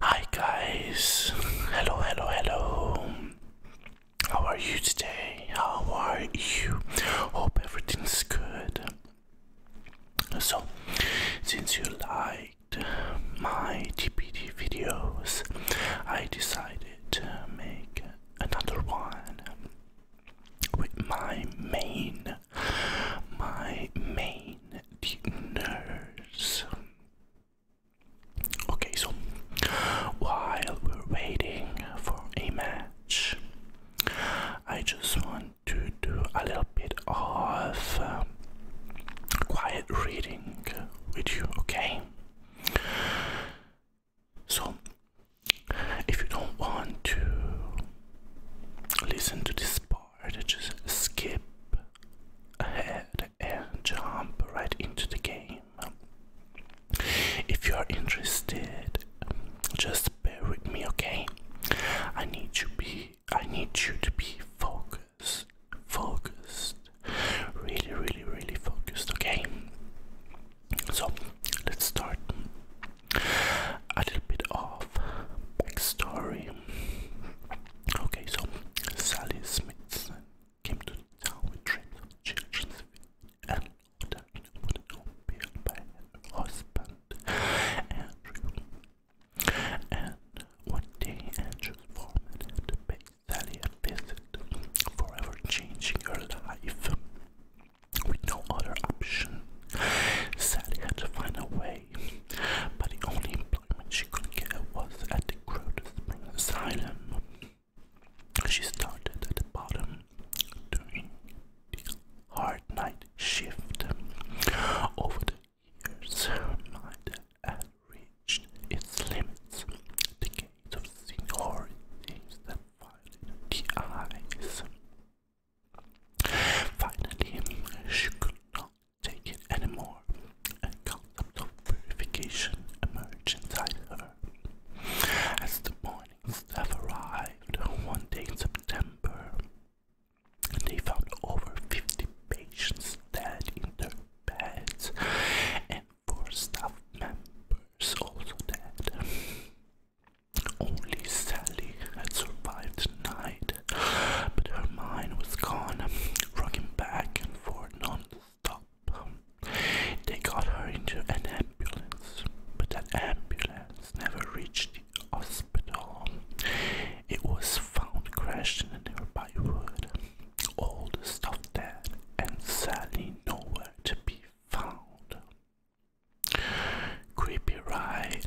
Hi guys, hello, hello, hello. How are you today? How are you? Hope everything's good. So, since you liked my TPD videos, I decided to make another one with my main, my main dinners. Okay, so while we're waiting for a match, I just want to do a little bit of um, quiet reading with you, okay? So, if you don't want to listen to this part or to just skip ahead and jump right into the game. If you are interested, just bear with me, okay? I need you be I need you to be focused, focused, really, really, really focused, okay? So let's start a little bit of backstory. Okay, so Sally Smith came to town with dreams of and ordered wooden home by her husband And one day Andrew's foreman had to Sally a forever changing her life. With no other option, Sally had to find a way but the only employment she could get was at the Grove Spring Asylum. She started at the bottom during the hard night shift. Over the years, her mind had reached its limits. The Decades of seniority that violated the eyes. Finally, she could not take it anymore. A concept of purification emerged inside her. As the morning staff arrived one day in September, they found over 50 patients dead in their beds and four staff members also dead. Only Sally had survived the night but her mind was gone, rocking back and forth non They got her into an ambulance, but that ambulance never reached the hospital. It was found crashed in a nearby wood, all the stuff dead and sadly nowhere to be found. Creepy, right?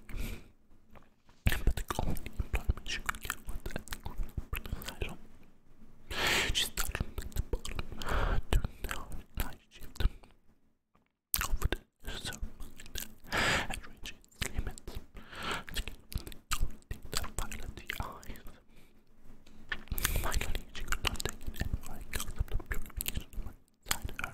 anyway. But the only employment she could get was at the criminal asylum. She started at the down a night shift over the ceremony and reached its limits. She did that violet the eyes. Finally, she could not take it anymore because of the purification inside her.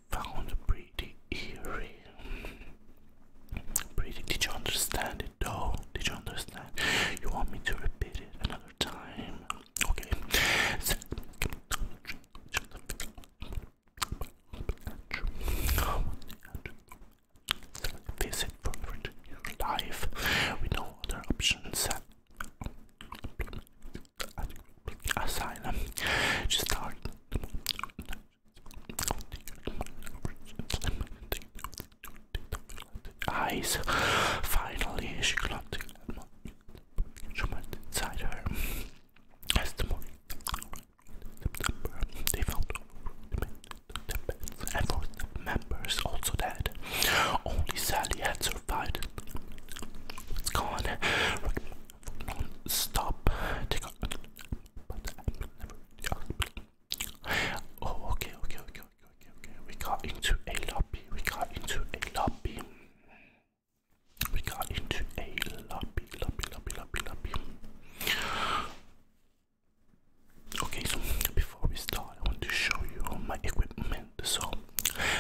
found pretty eerie. Pretty. Did you understand it though? Did you understand? You want me to repeat it another time? Okay. Visit for your life with no other options. Asylum. She started eyes. Finally, she clutched inside her. As the morning they found the members also dead. Only Sally had survived. It's gone stop oh, okay, okay, okay, okay, okay, okay. We got into a lobby. We got into a lobby. We got into a lobby, lobby, lobby, lobby, lobby. Okay, so before we start, I want to show you my equipment. So,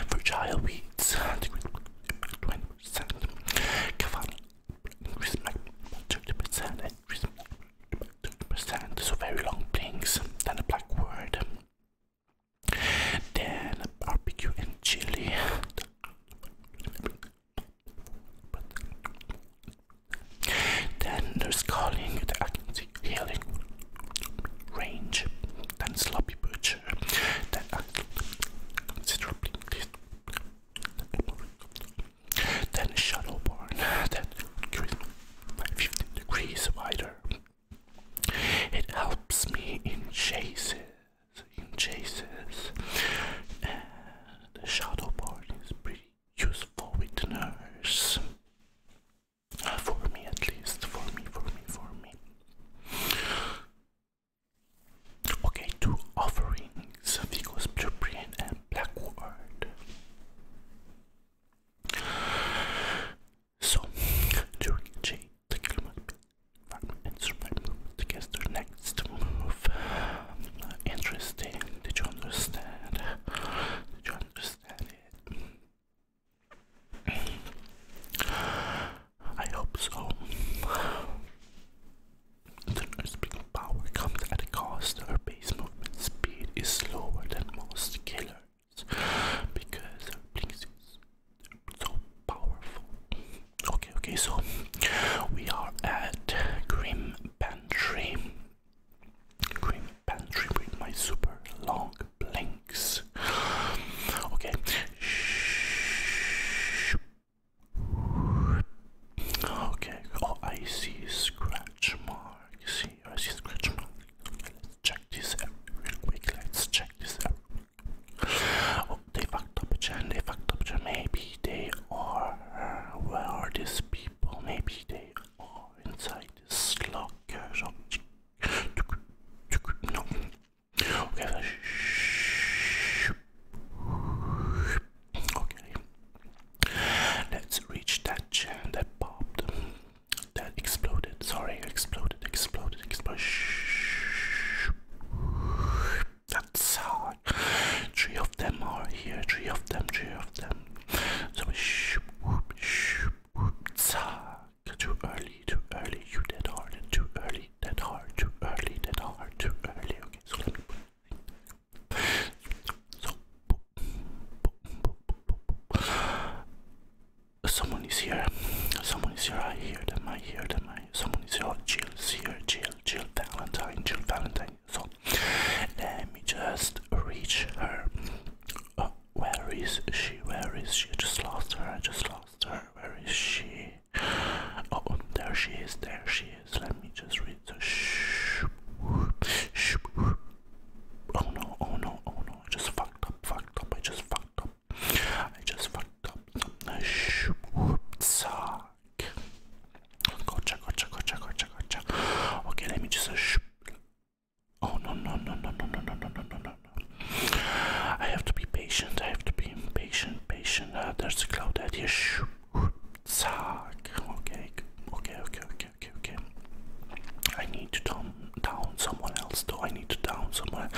fragile weeds, 20%, Cavan Increase about 30% and reason about percent eh? so very long blinks, then a black word, then a barbecue and chili, then there's calling, the agency healing, range, then sloppy butcher, then I considerably then shuttle then that increased degrees wider. It helps me in chases, in chases, and the shuttle is pretty useful with nurse. Uh, for me, at least, for me, for me, for me. Okay, two offerings, Vigos Cyprian and Blackwood. So, during J, the killer must be and survive movement against their next move. Uh, interesting, did you understand? Did you understand it? I hope so. The nurse power comes at a cost. Her base movement speed is slower than most killers because her blinks is so powerful. Okay, okay, so we are at Grim Pantry. Grim Pantry with my super long blinks. Okay. Okay, oh, I see scratch mark. See, I see scratch mark. let's check this out real quick. Let's check this out. Oh, they fucked up a gen. They fucked up a gen. Maybe they are. Where are these people? Maybe they are inside this locker shop. No, Okay. Okay. Let's reach that chain that popped. That exploded. Sorry, exploded, exploded, exploded. That's hard. Three of them are here. Three of them. Three of them. So too early. Too early. You did hard. Too early early, that hard, too early, that hard, too early. Okay, so let me put it. So, boop, boop, boop, boop, boop. someone is here. Someone is here. I hear them. I hear them. I, someone is here. Jill is here. Jill, Jill Valentine, Jill Valentine. So, let me just reach her. Uh, where is she? Where is she? I just lost her. I just lost her. Where is she? Oh, there she is, there she is. Let me just read the shh. Oh no, oh no, oh no. I just fucked up, fucked up. I just fucked up. I just fucked up. Gotcha, gotcha, gotcha, gotcha, gotcha. Okay, let me just. Oh no, no, no, no, no, no, no, no, no, no, no. I have to be patient. I have to be impatient patient, patient. Uh, there's a cloud at here. Okay, okay, okay, okay, okay, okay. I need to down, down someone else though. I need to down someone.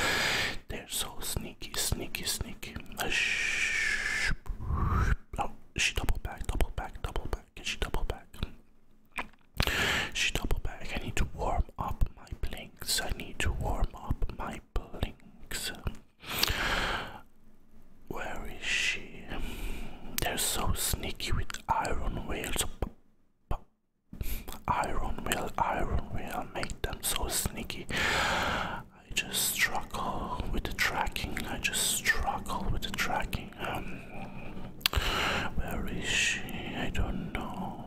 They're so sneaky, sneaky, sneaky. Uh, oh, she double back, double back, double back. Can she double back? She double back. I need to warm up my blinks. I need to warm up my blinks. Where is she? They're so sneaky with iron wheels. Iron will, iron will make them so sneaky. I just struggle with the tracking. I just struggle with the tracking. Um, where is she? I don't know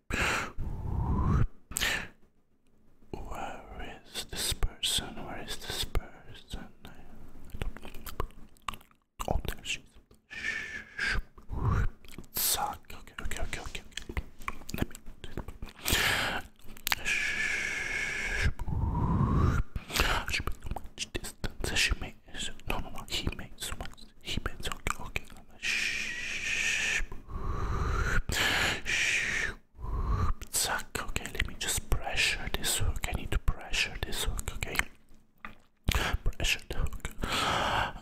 Where is this person? Where is this person? Oh, there she is. Suck. Okay, okay, okay, okay. Let me do She made so much distance. She made no, no, no. He made so much he Humans, okay, okay. Shh. Shh. Suck. Okay, let me just pressure this hook. I need to pressure this hook. Okay. Pressure the hook.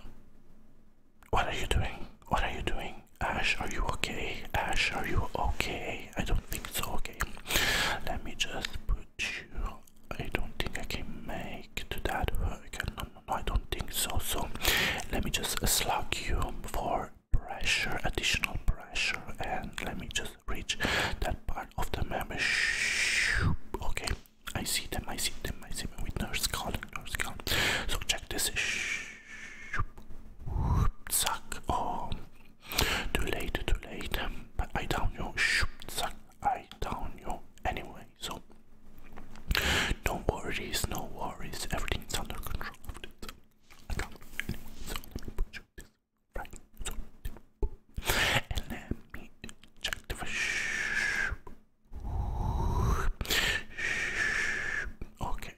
What are you doing? What are you doing? Ash, are you okay? Ash, are you okay? I don't think so. Okay. Let me just put you I don't think I can make to that work. No, no, I don't think so. So let me just slug you for pressure, additional pressure, and let me just reach that part of the membrane. Okay, I see them. I see them. I see them with nurse call, nurse call. So check this. Suck. Oh, too late. Too late. But I down you. Suck. I down you. Anyway, anyway. So, no worries, no worries. Everything's under control. I can't. right. Okay.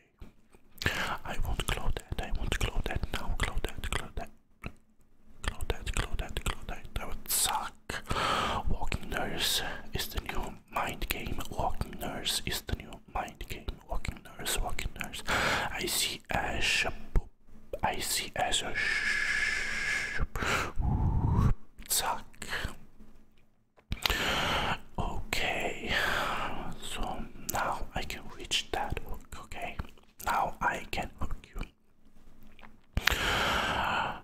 I will that. I will that now. that. that. that. that. That would suck. Walking Nurse is the new mind game. Walking Nurse is the new mind game. Walking Nurse, Walking Nurse. I see Ash. I see Ash. Zack. Okay, so now I can reach that Okay, now I can hook you. that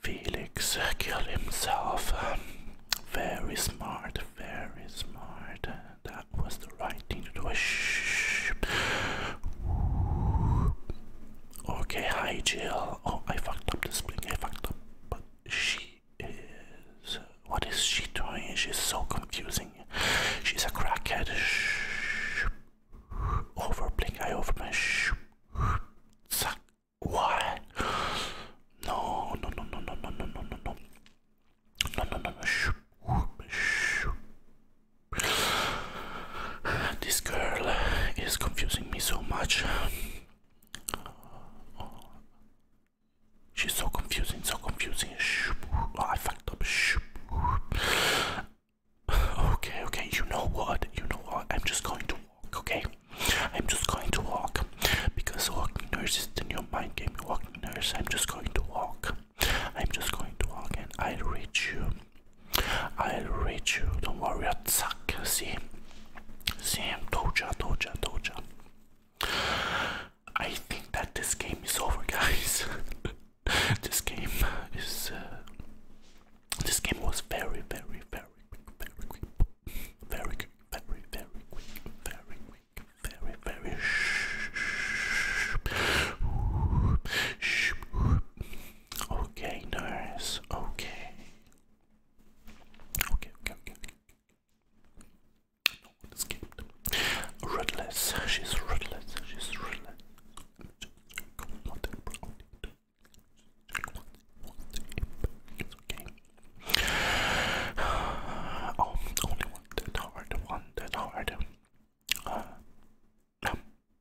Felix killed himself. very smart, very smart. That was the right thing to do. Shh. Okay, hi Jill. Oh, I fucked up this thing. I fucked up. But she is. What is she doing? She's so confusing. She's a crackhead. Shh over blink eye overman Zack. Why? No, no, no, no, no, no, no, no, no, no, no, no, no, no. This girl is confusing me so much. She's so confusing, so confusing. I fucked up. Okay, okay, you know what? You know what? I'm just going to walk, okay? I'm just going to walk because walking nurses in your mind game. Walking nurse, I'm just going to walk. I'm just going to walk and I'll reach you. I'll reach you. Don't worry, I'll suck. See? See? Told ya, told ya, told ya. I think that this game is over, guys. this game is. Uh, this game was very, very, very quick, very quick, very quick, very, very quick, very quick, very, very shh. Okay, nice. Okay. Okay, okay, okay, okay. No one escaped. Ruthless. She's ruthless. She's ruthless. I'm just going to only one that hard, one that hard.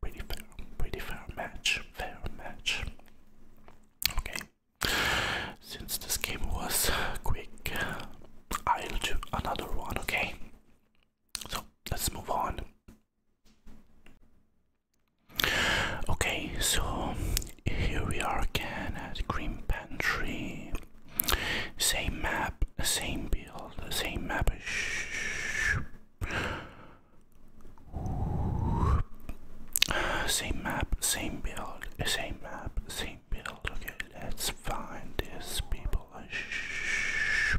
pretty fair, pretty fair match, fair match. Okay. Since this game was quick, I'll do another one, okay? So let's move on. Okay, so here we are again at Green Pantry. Same map, same build, same map. Shh. Same map, same build, same map, same build. Okay, let's find these people. Shh.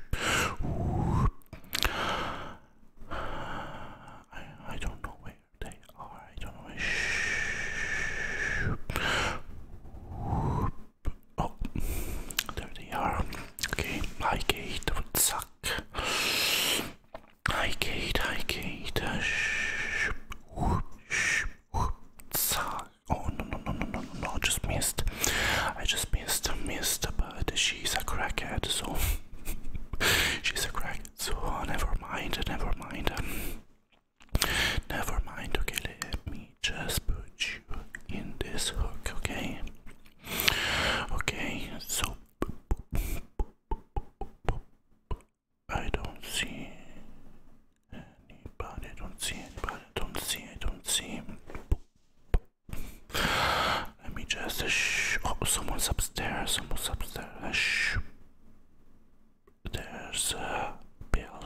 I, I don't know where they are. I don't know where. Shh. Oh, there they are. Okay, hi Kate, what's up? Hi Kate, hi Kate. Shh. Oh no no no no no no no! Just missed. I just missed, I missed she's a crackhead, so she's a crackhead. So never mind, never mind. Um, never mind. Okay, let me just put you in this hook. Okay. Okay. So I don't see anybody. I don't see anybody. I don't see. I don't see. Let me just. Uh, shh. Oh, someone's upstairs. Someone's upstairs. Uh, shh. There's a bill.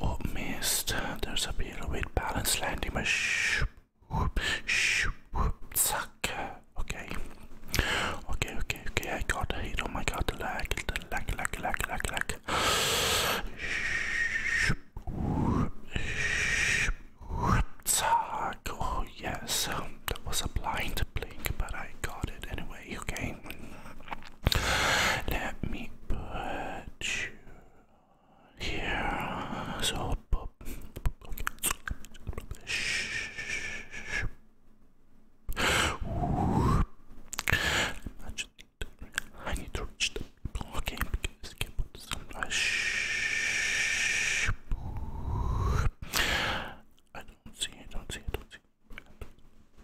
Oh, missed. There's a bill with balance landing. But shh. Shh. Suck. Okay. Okay, okay, okay. I got a hit. Oh my god. The lag. The The lag, The lag, The Shh. Shh. Oh yes, um, that was a blind blink, but I got it anyway. Okay, let me put you here. So, I I don't see, I I don't see.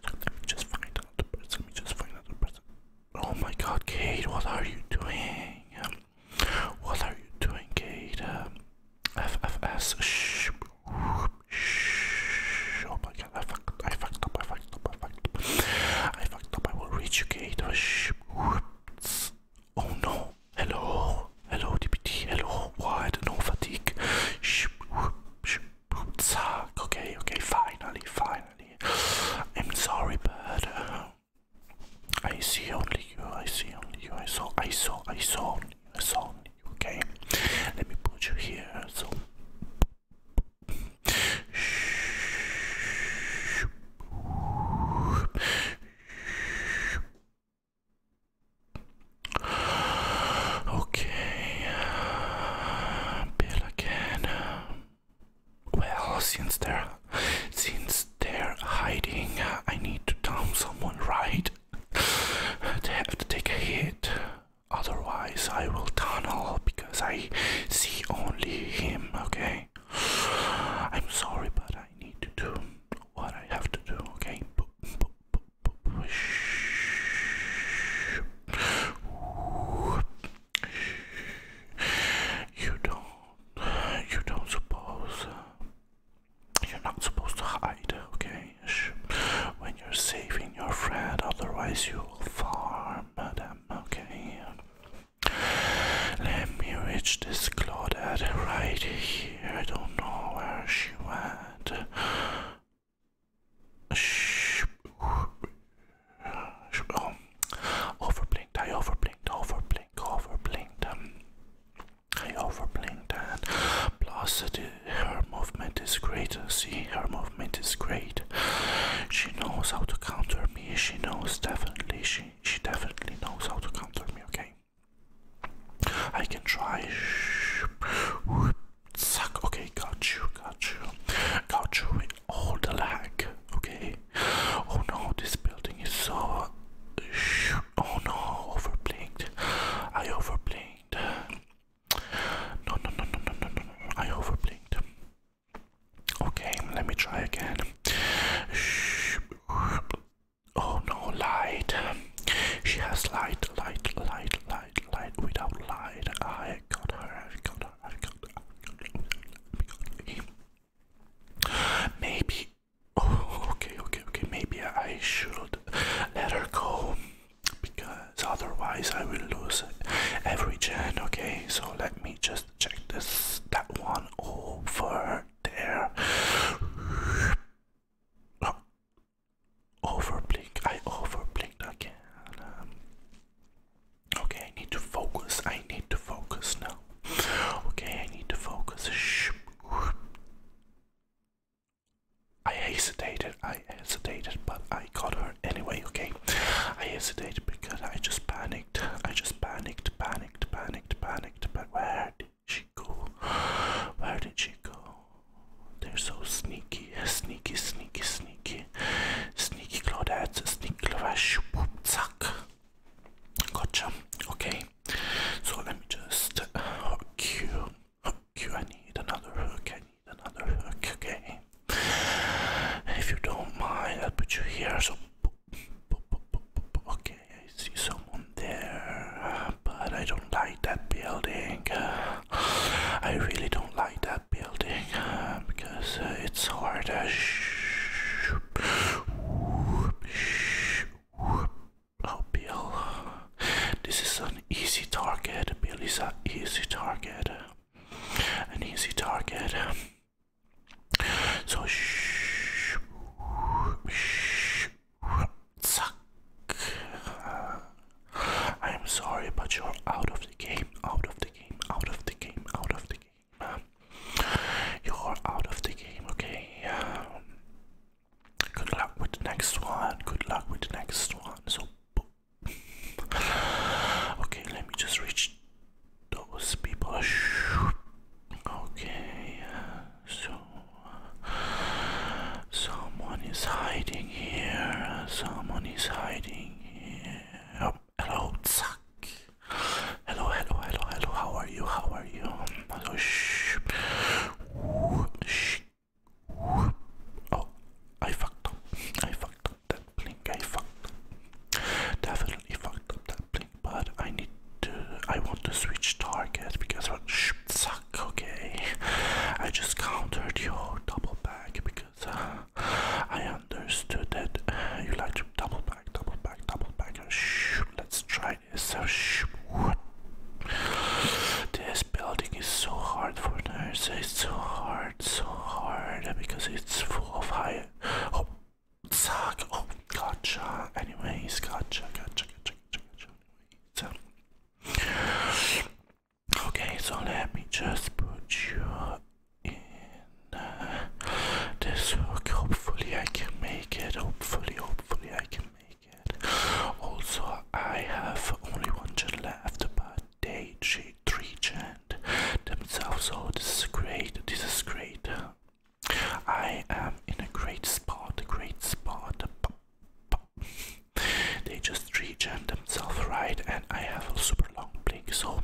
So let me just find another person. Let me just find another person. Oh my god, Kate, what are you doing? what are you doing, Kate? FFS. Shh. Shh. Oh my god, I fucked, I fucked up, I fucked up, I fucked up. I fucked up, I will reach you, Kate. Shh. Oh no! Hello! Hello, DPT! Hello! why don't No fatigue! Shh, shh, Okay, okay, finally, finally. I'm sorry, but uh, I see only you. I see only you. I saw, I saw, I saw only you. I saw you. Okay, let me put you here. So. Okay, Bill again. Well, since they're since they're hiding, I need to down someone, right? they have to take a hit. Otherwise, I will tunnel because I see only him. Okay. I'm sorry, but I need to do what I have to do, okay? You don't, you don't suppose, you're not supposed to hide, okay? When you're saving your friend, otherwise you'll farm them, okay? Let me reach this Claudette right here. I don't know where she went. Shh. Oh. Overblinked, I overblinked, overblinked, overblinked. Um, I overblinked and plus it, her movement is great. See, her movement is great. She knows how to counter me. She knows definitely. She she definitely knows how to counter me, okay? I can try. Suck. Okay, got you, got you, got you with all the lag. Okay. Oh no, this building is so. Oh no, overblinked. I overblinked. No, no, no, no, no, no, no. I overblinked. Okay, let me try again. Oh no, light. She has light, light, light, light, light. Without light, I got her. I got her. I got her. I got her. Maybe. Oh, okay, okay, okay. Maybe I should let her go because otherwise I will lose every gen. Okay, so let me just check this that one over there. Over blink, I overblinked again. okay, I need to focus. I need to focus now. Okay, I need to focus. I hesitated, I hesitated, but I got her anyway, okay? I hesitated because I just panicked I just panicked, panicked, panicked, panicked. But where did she go? Where did she go? They're so sneaky, sneaky, sneaky, sneaky. Sneaky Claudette, sneaky Clavash, whoop, zack. Gotcha. Okay. So let me just hook you. Hook you. I need another hook. I need another hook. Okay. If you don't mind, I'll put you here. So Okay, I see someone there, but I don't like that building. I really don't like that building because uh, it's hard. Oh, Bill. This is an easy target. Bill is an easy target. An easy target. So, shh, shh, suck. I am sorry, but you're out of the game, out of the game, out of the game, out of the game. you're out of the game, okay? good luck with the next one, good luck with the next one. So, okay, let me just reach those people. Okay, so someone is hiding here. Someone is hiding here. hello, Zach. Hello, hello, hello, hello. How are you? How are you? shh. Oh, I fucked up. I fucked up that blink. I fucked up. Definitely fucked up that blink, but I need to. I want to switch target because what? Sh suck, okay? I just countered your double back because uh, I understood that uh, you like to double back, double back, double back. Uh, sh let's try this. So sh this building is so hard for nerds. It's so hard, so hard because it's full of high. Oh, Suck. Oh, gotcha. Anyways, gotcha, gotcha, gotcha, gotcha, gotcha. Anyways. Okay, so let me just put you in uh, this hook. Hopefully, I can make it. Hopefully, hopefully, I can make it. Also, I have only one gen left, but day three gen themselves. So this is great. This is great. I am in a great spot. A great spot. They just regen themselves right, and I have a super long blink, so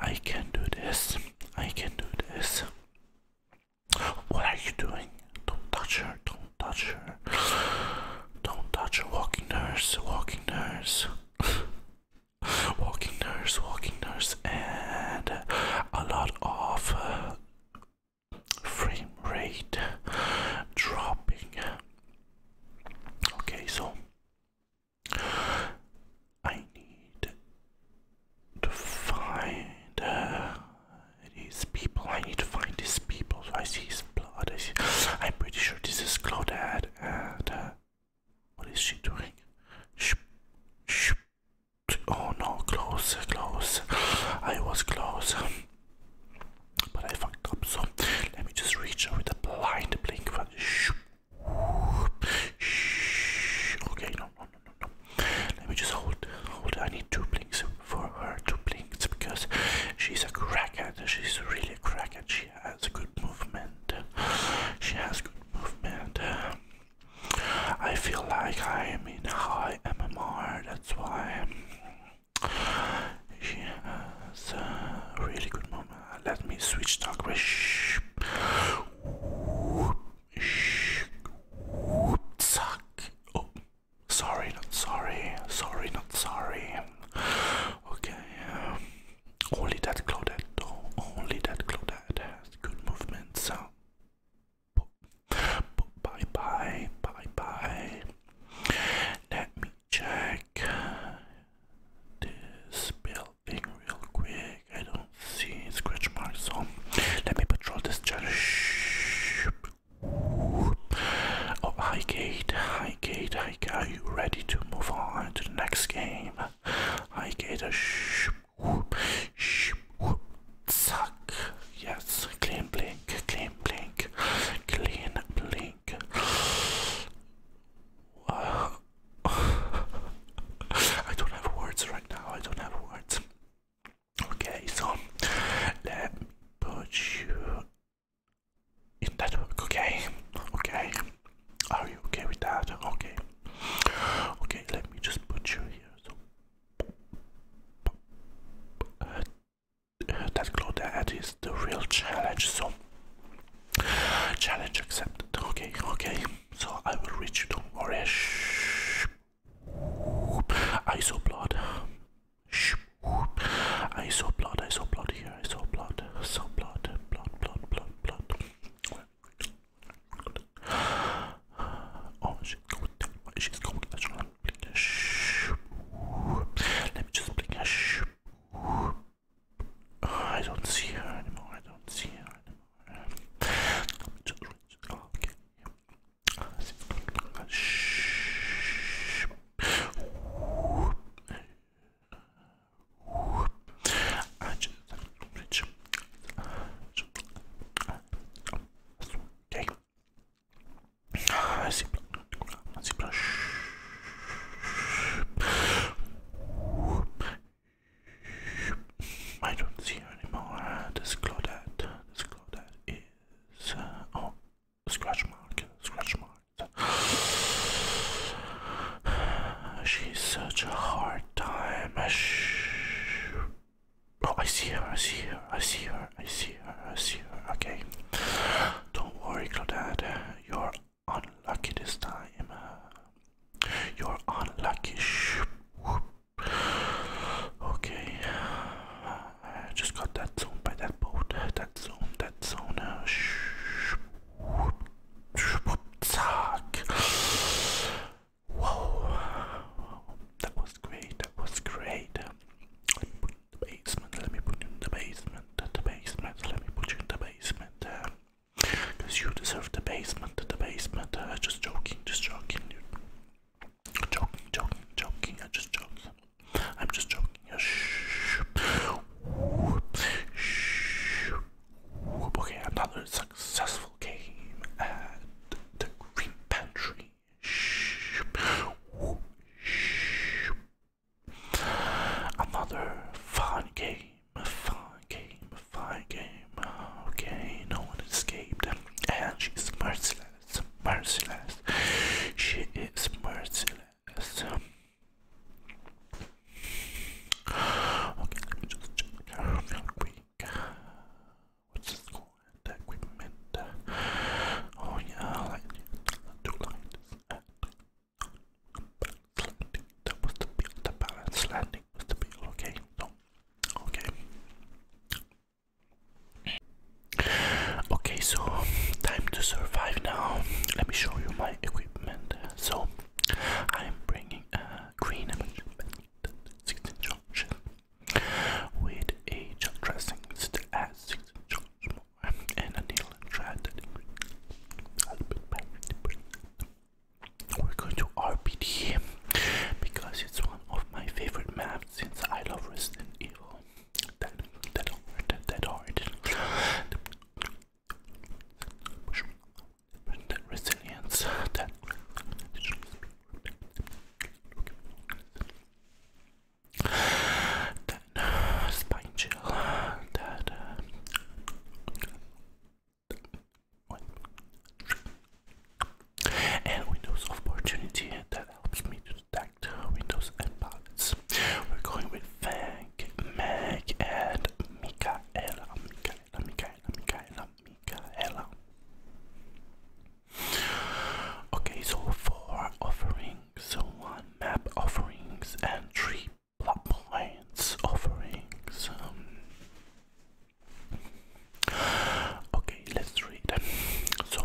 I can do this. I can do this. What are you doing? Don't touch her. Don't touch her. Don't touch her. Walking nurse. Walking nurse walking nurse, walking nurse, and a lot of uh, frame rate dropping. Okay, so I need to find uh, these people. I need to find these people. So I see his blood. I see. I'm pretty sure this is Claudette and. Uh, what is she doing? Shh, shh. Oh no, close, close. I was close. But I fucked up, so let me just reach her with a blind blink. Shh. Shh. Okay, no, no, no, no, no. Let me just hold, hold. I need two blinks for her, two blinks, because she's a crackhead. She's really a crackhead. She has a good movement. She has good movement. I feel like I am in high MMR, that's why she has uh, really good moment. Let me switch to English. Oh, sorry, not sorry, sorry, not sorry. Okay, only that Claudette, oh, only that Claudette has good movements. So, bye bye, bye bye. Let me check this building real quick. I don't see scratch marks, so let me patrol this church. Ooh. Oh, hi Kate, high Kate, hi Kate. Are you ready to move on to the next game? I get a sh whoop, sh whoop, suck. Yes, clean blink, clean blink, clean blink. Wow. I don't have words right now, I don't have words. Okay, so let me put you in that hook, okay? Okay. Are you okay with that? Okay. Okay, let me just put you here. So uh, uh, that glow that is the real challenge. So challenge accepted. Okay, okay. So I will reach you. Don't worry. I saw blood. I saw blood. I saw blood here. I saw blood. I saw blood. Blood. Blood. Blood. Blood. Oh, she's Let me just blink oh, I don't see her anymore. I don't see her anymore. I Okay. I don't see her anymore. This Claudette, this Claudette is uh, oh, scratch mark, scratch mark. She's such a hard time. Oh, I see her, I see her, I see her, I see her, I see her. Okay. Don't worry, Claudette. You're unlucky this time. You're unlucky. Okay. just got that zone by that boat. That zone, that zone. Zack. Whoa, that was great, that was great. Let me in the basement, let me put you in the basement, the basement, let me put you in the basement. Because you deserve the basement, the basement. Uh, just joking, just joking, dude. Joking, joking, joking, I'm just joking. I'm just joking. Shh. Shh. Okay, another successful game at the Green Pantry. Another fun game, fun game, fun game. Okay, no one escaped, and she's merciless, merciless. She is merciless. Okay, let me just check real quick. What's this called? Equipment. Oh yeah, like two lines. Landing. That was the bill. The balance landing was the bill. Okay, so okay. Okay, so time to survive now. Let me show you my equipment. So I am bringing a green image with a dressing that adds six inch more a needle and We're going to RPD because it's one of my favorite maps since I love Resident Evil. That that hard, that hard that resilience, that that spine chill, that uh, and windows of opportunity that helps me to detect windows and palettes. We're going with Fag, Mag, and Micaela, Micaela, Micaela, Micaela, Okay, so four offerings, one map offerings and three plot points offerings. Um, okay, let's read. So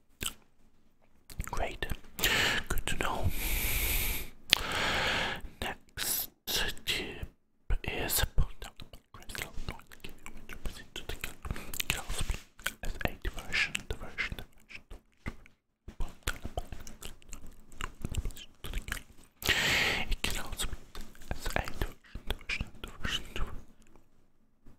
Great, good to know. Next tip is product crystal. I'm going to give as a diversion, diversion, diversion. It can also be as a diversion, diversion, diversion.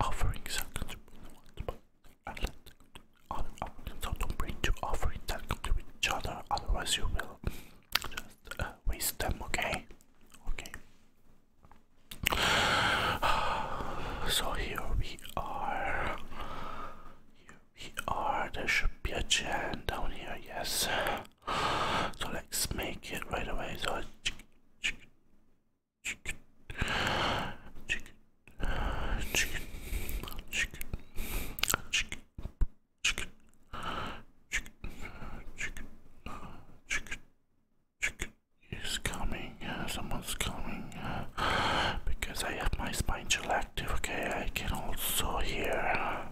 Offering circles so don't bring two offerings that compete with each other, otherwise you will just uh, waste them, okay? Okay. So here we are. Here we are. There should be a gen down here, yes. So let's make it right away. So chicken, chicken, chicken, chicken, chicken, chicken, chicken, chicken, chicken is coming. Uh, someone's coming uh, because I have my spine chill active. Okay, I can also hear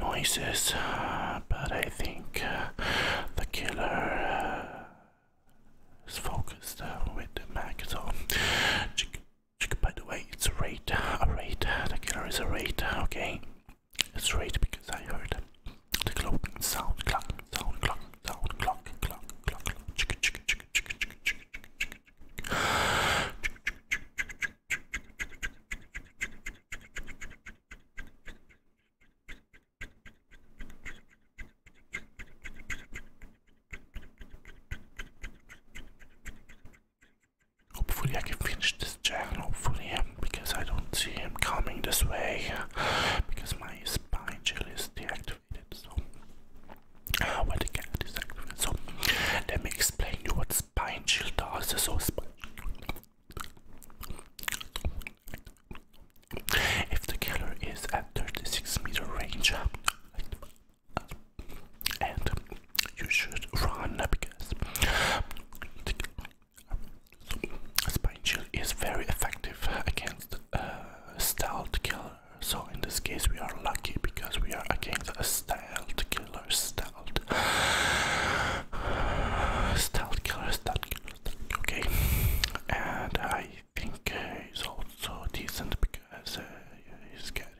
noises, uh, but I think the killer is focused with the mag. So, by the way, it's a raid. A raid. The killer is a raid. Okay, it's raid because I heard the clock sound, clock sound, clock sound, clock, clock, clock, clock. Chick, chick, chick, chick, chick, chick, chick, chick, chick, chick. Hopefully I can finish this channel, hopefully, um, because I don't see him coming this way, because my spine chill is deactivated, so, uh, well, the cat so, let me explain you what spine chill does, so, if the killer is at 36 meter range, and you should run because spine shield is very effective against uh, stealth killer. So in this case, we are lucky because we are against a stealth killer, stealth, stealth killer, stealth killer. Okay, and I think he's also decent because he's getting.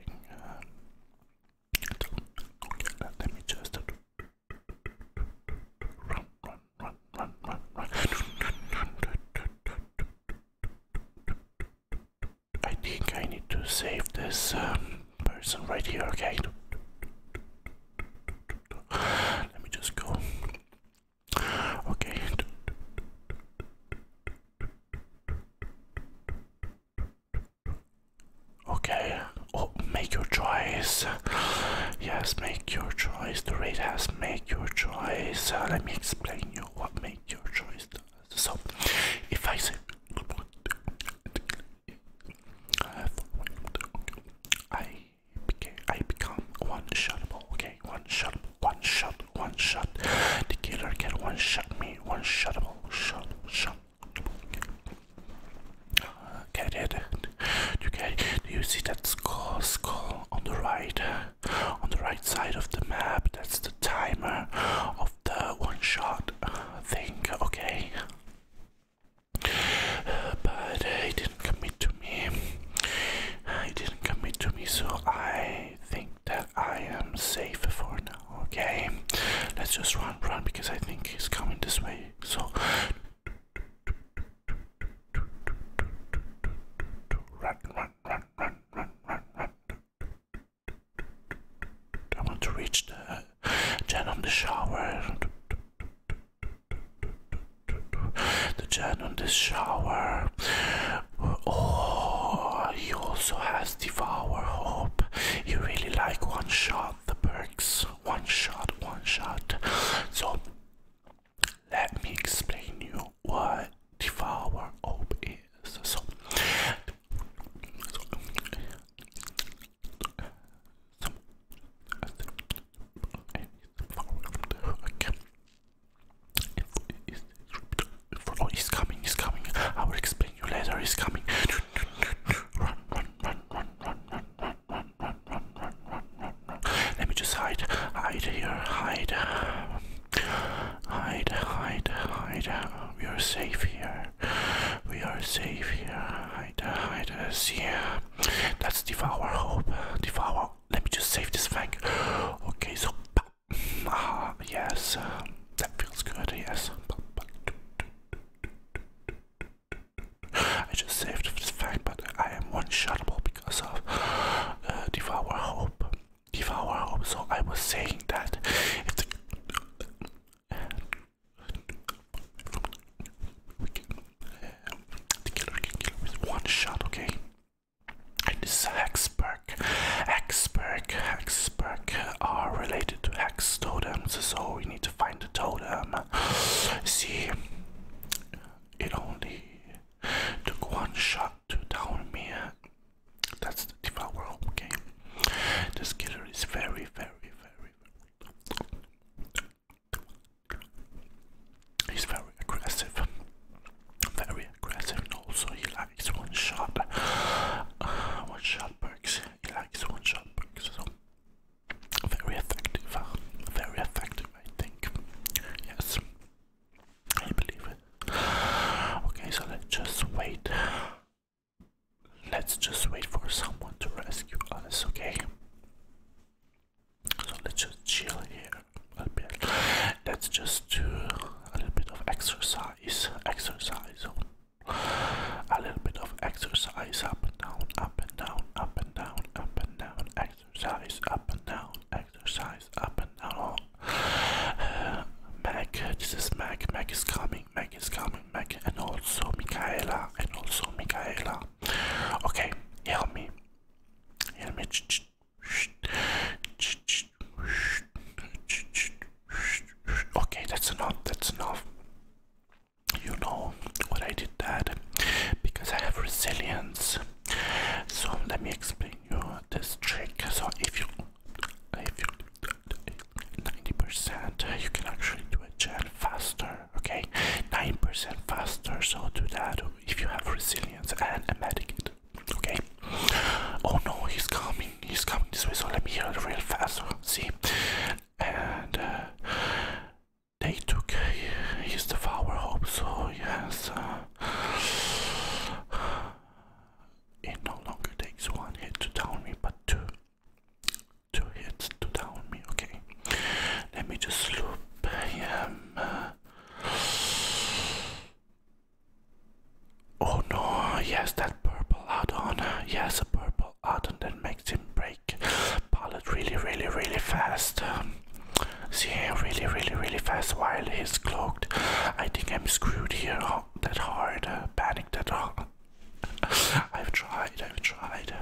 let me just I think I need to save this person right here. Okay. Let me just go. Okay. Okay. Oh, make your choice. Yes, make your choice. The rate has make your choice. Uh, let me explain you what make your choice does. So, if I say I become one shotable. Okay, one shot, one shot, one shot. The killer can one shot me, one shotable, shot, shot. Okay. Uh, get it? Okay, do you see that skull, skull on the right, on the right side of the map? That's the timer of the one shot uh, thing. Okay but uh, he didn't commit to me. He didn't commit to me, so I think that I am safe for now. Okay, let's just run, run because I think he's coming this way. So run, run, run, run, run, run, run. I want to reach the gen on the shower. The jan on this shower. Oh, he also has devour hope. You really like one shot the perks. One shot, one shot. So let me explain you what devour hope is. So, so it's, coming, he's coming. I will explain you later. He's coming. Run, run, run, run, run, run, run, run, run, run, run, run, Let me just hide, hide here, hide, hide, hide, hide. We are safe here. We are safe here. Hide, hide. us here. That's devour hope. Devour. Let me just save this thing. Okay, so. Ah, yes. Um, that feels good, yes. I just saved this fact, but I am one shotable because of uh, Devour Hope. Devour Hope. So I was saying that the killer can kill with one shot, okay? And this hexperk, hexperk, hexperk are related to hex totems, so we need to find the totem. See, it only took one shot to down me. That's the devourer, okay? This killer is very, very, very, very He's very aggressive, very aggressive, and also he likes one shot, one shot perks. He likes one shot perks, so very effective, uh, very effective, I think. Yes, I believe Okay, so let's just wait. Let's just wait for someone to rescue us, okay? So let's just chill here a bit. Let's just do a little bit of exercise. Exercise. A little bit of exercise up and down, up and down, up and down, up and down. Exercise up and down, exercise up and down. Mac, this is Mac. Mac is coming coming, Meg is coming, Meg, and also Michaela, and also Michaela. Okay, help me. Help me. Okay, that's enough, that's enough. You know what I did that because I have resilience. So let me explain you this trick. So if you if you 90% you can actually do a gen faster okay 9% faster so do that if you have resilience and a medikit okay oh no he's coming he's coming this way so let me heal real fast see and uh, they took uh, his devour hope so yes uh, it no longer takes one hit to down me but two two hits, two down me, okay. Let me just loop him. Uh, oh no, yes, that purple add-on. Yes, a purple add-on that makes him break pallet really, really, really fast. See see, really, really, really fast while he's cloaked. I think I'm screwed here. that hard, panicked at all. I've tried, I've tried.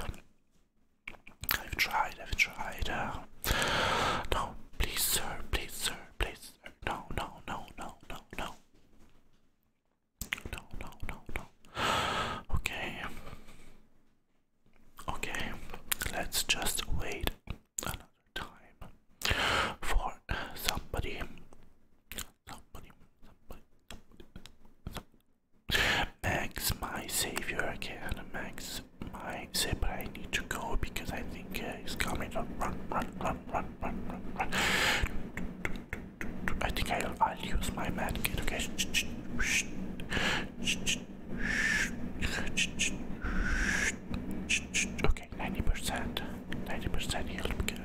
I've tried, I've tried. Uh, no, please, sir, please, sir, please, sir. No, no, no, no, no, no. No, no, no, no. Okay. Okay, let's just wait another time for somebody. Somebody, somebody, somebody, somebody, Max, my savior, I can Max, my savior, but I need to go because I think uh, he's coming. Run, run, run, run, run, run, run. I think I'll, I'll use my mad kit, okay? Okay, 90%. 90% healed because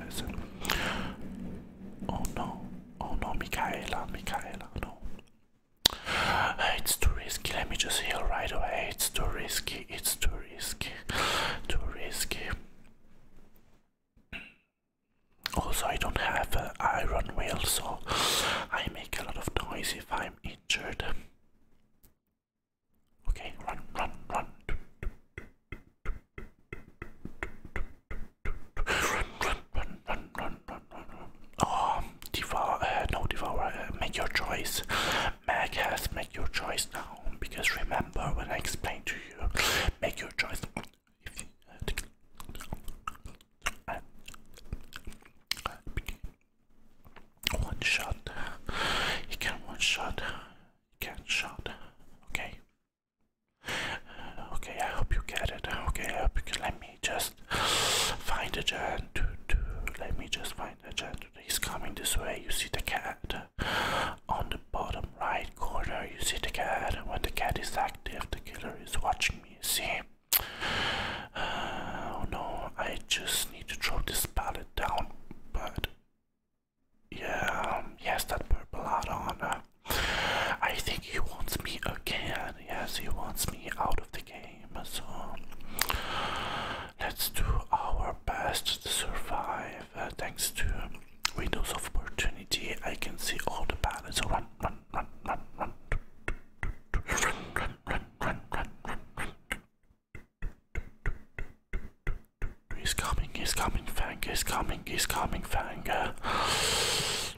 Oh no, oh no, Michaela, Michaela, no. It's too risky, let me just heal right away. It's too risky, it's too risky, too risky. Also, I don't have an iron wheel, so I make a lot of noise if I'm injured. Okay, run, run, run. Oh, ah, devour, uh, no, devour, uh, make your choice. Mag has make your choice now, because remember when I explained to you, make your choice. One shot, you can one shot, you can shot, okay. Okay, I hope you get it. Okay, Let me just find a giant. Let me just find a giant. He's coming this way. You see the cat on the bottom right corner. You see the cat. When the cat is active, the killer is watching me. See? Uh, oh no, I just need to throw this pallet down. But yeah, um, yes, that purple hat on. Uh, I think he wants me again. Yes, he wants me out of the game. So let's do our best to survive. Uh, thanks to windows of opportunity, I can see all the balance. Run, run, run, run, run, run, run, run, run, run, run. He's coming, he's coming, Frank, he's coming he's coming, Fang.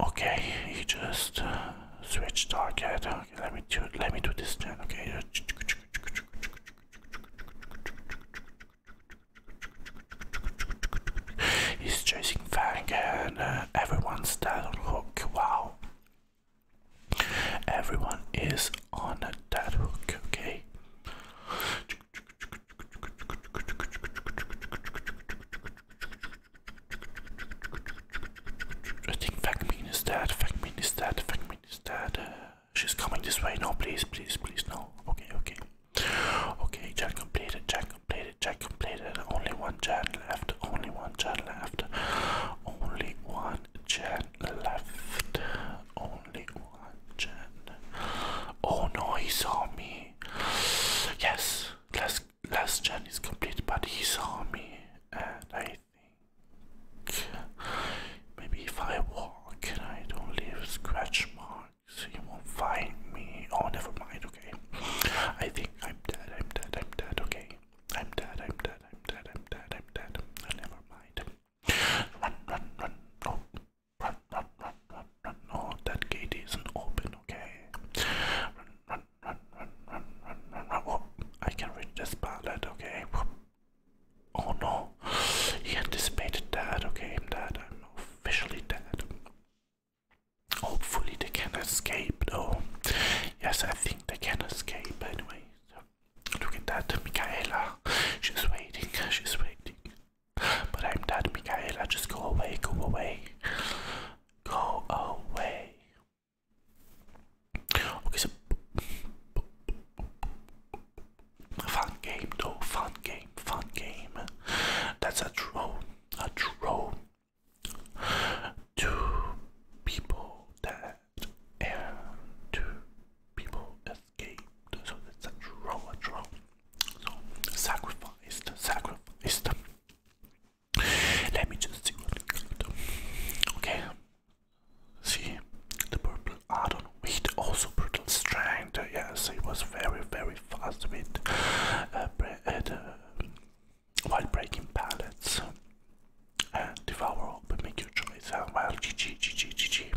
Okay, he just uh, switched target. Okay, let me do let me do this turn. Okay. He's chasing Fang and uh, everyone's dead on hook. Wow. Everyone is on a dead hook, okay? I think Fagmin is dead, Fagmin is dead, Fagmin is dead. Uh, she's coming this way. No, please, please, please, no. Okay, okay. Okay, Jan completed, Jan completed, Jan completed. Only one Jan left, only one Jan left. Only one Jan left. Only one Jan. Oh no, he saw me me. Yes, last last journey is complete, but he saw me, and I think maybe if I walk and I don't leave scratch marks, he won't find me. Oh, never mind. Okay, I think I'm dead. I'm dead. I'm dead. Okay, I'm dead. I'm dead. I'm dead. I'm dead. I'm dead. I'm dead. Never mind. Run, run, run. Oh, Run, run, run, run, run. No, that gate isn't open, okay? Run, run, run, run, run, run, run, run. Oh, I can reach this pallet, okay? Oh no, he anticipated that, okay? I'm dead, I'm officially dead. Hopefully, they can escape though. Yes, I think they can escape anyway. look at that, Michaela. She's waiting, she's waiting. But I'm not Michaela, just go away, go away. Go away. Okay, fun game though, fun game, fun game. That's a drone, a drone. Two people that and two people Okay, so that's wrong, a wrong. So, sacrificed, sacrificed. Let me just see what we do. Okay. See, the purple art on wheat, also brutal strength. Yes, it was very, very fast with uh, uh, while breaking pallets. Uh, devour, but make your choice. Uh, well, GG, GG, GG.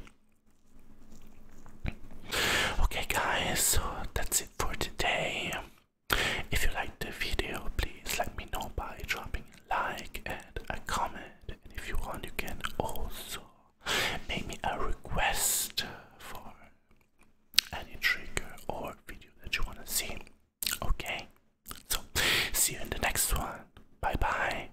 Okay, guys, so that's it for today. If you liked the video, please let me know by dropping a like and a comment. And if you want, you can also make me a request for any trigger or video that you want to see. Okay, so see you in the next one. Bye bye.